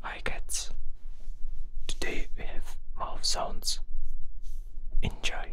Hi cats! Today we have mouth sounds. Enjoy!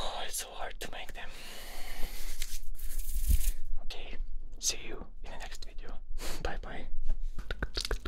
Oh, it's so hard to make them. Okay, see you in the next video. Bye bye.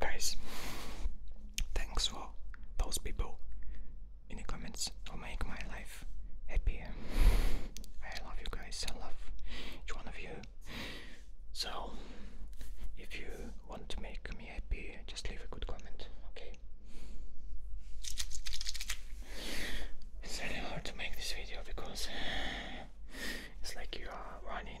Guys, thanks for those people in the comments who make my life happy. I love you guys, I love each one of you. So, if you want to make me happy, just leave a good comment, okay? It's really hard to make this video because it's like you are running.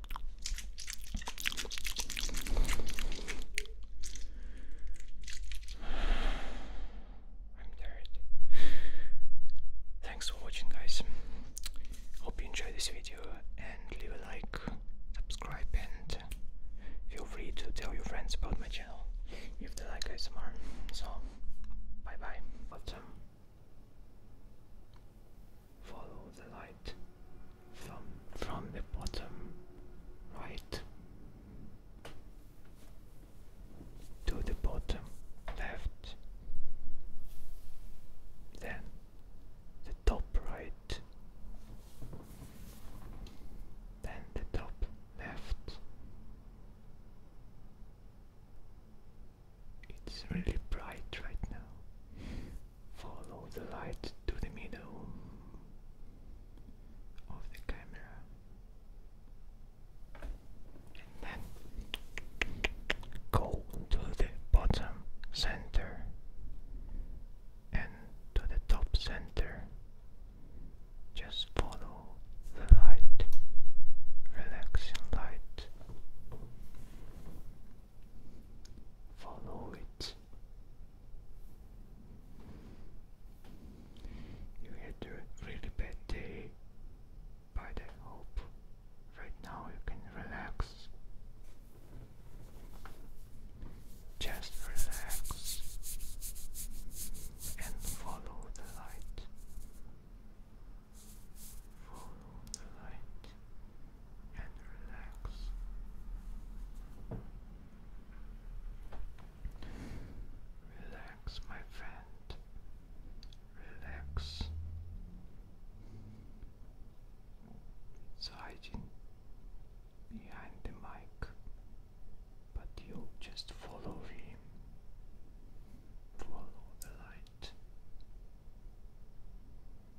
Thanks for watching, guys. Hope you enjoyed this video and leave a like, subscribe, and feel free to tell your friends about my channel if they like ASMR. So, bye bye. But, follow the light from from the bottom right to the bottom left then the top right then the top left it's really bright right now Follow the light to the middle of the camera and then go to the bottom center and to the top center. Just follow the light, relaxing light. Follow it. You had a really bad day, but I hope right now you can relax. Just relax and follow the light. Follow the light and relax. Relax, my friend. Relax. It's hiding behind the mic, but you just follow him. Follow the light.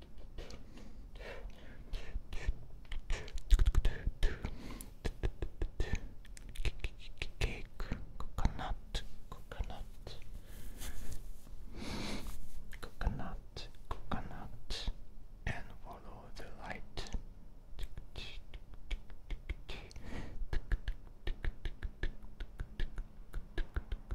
cake, coconut, coconut, coconut, coconut, and follow the light.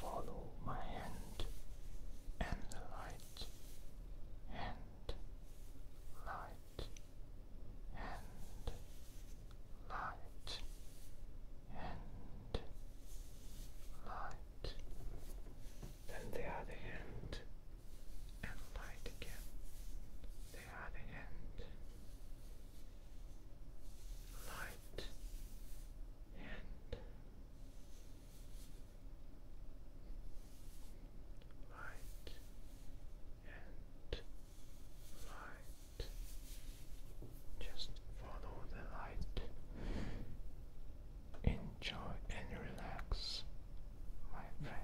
Follow my hand and the light, hand, light, and light and light then the other hand and light again the other hand light and light and light. Just follow the light. Enjoy and relax, my friend.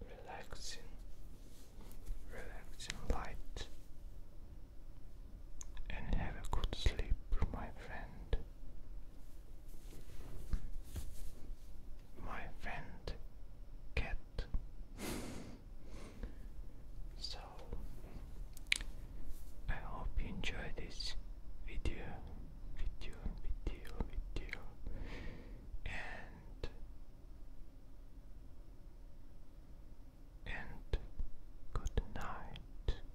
Relaxing, relaxing light, and have a good sleep, my friend my friend cat. so I hope you enjoy this video, video, video, video, and and good night.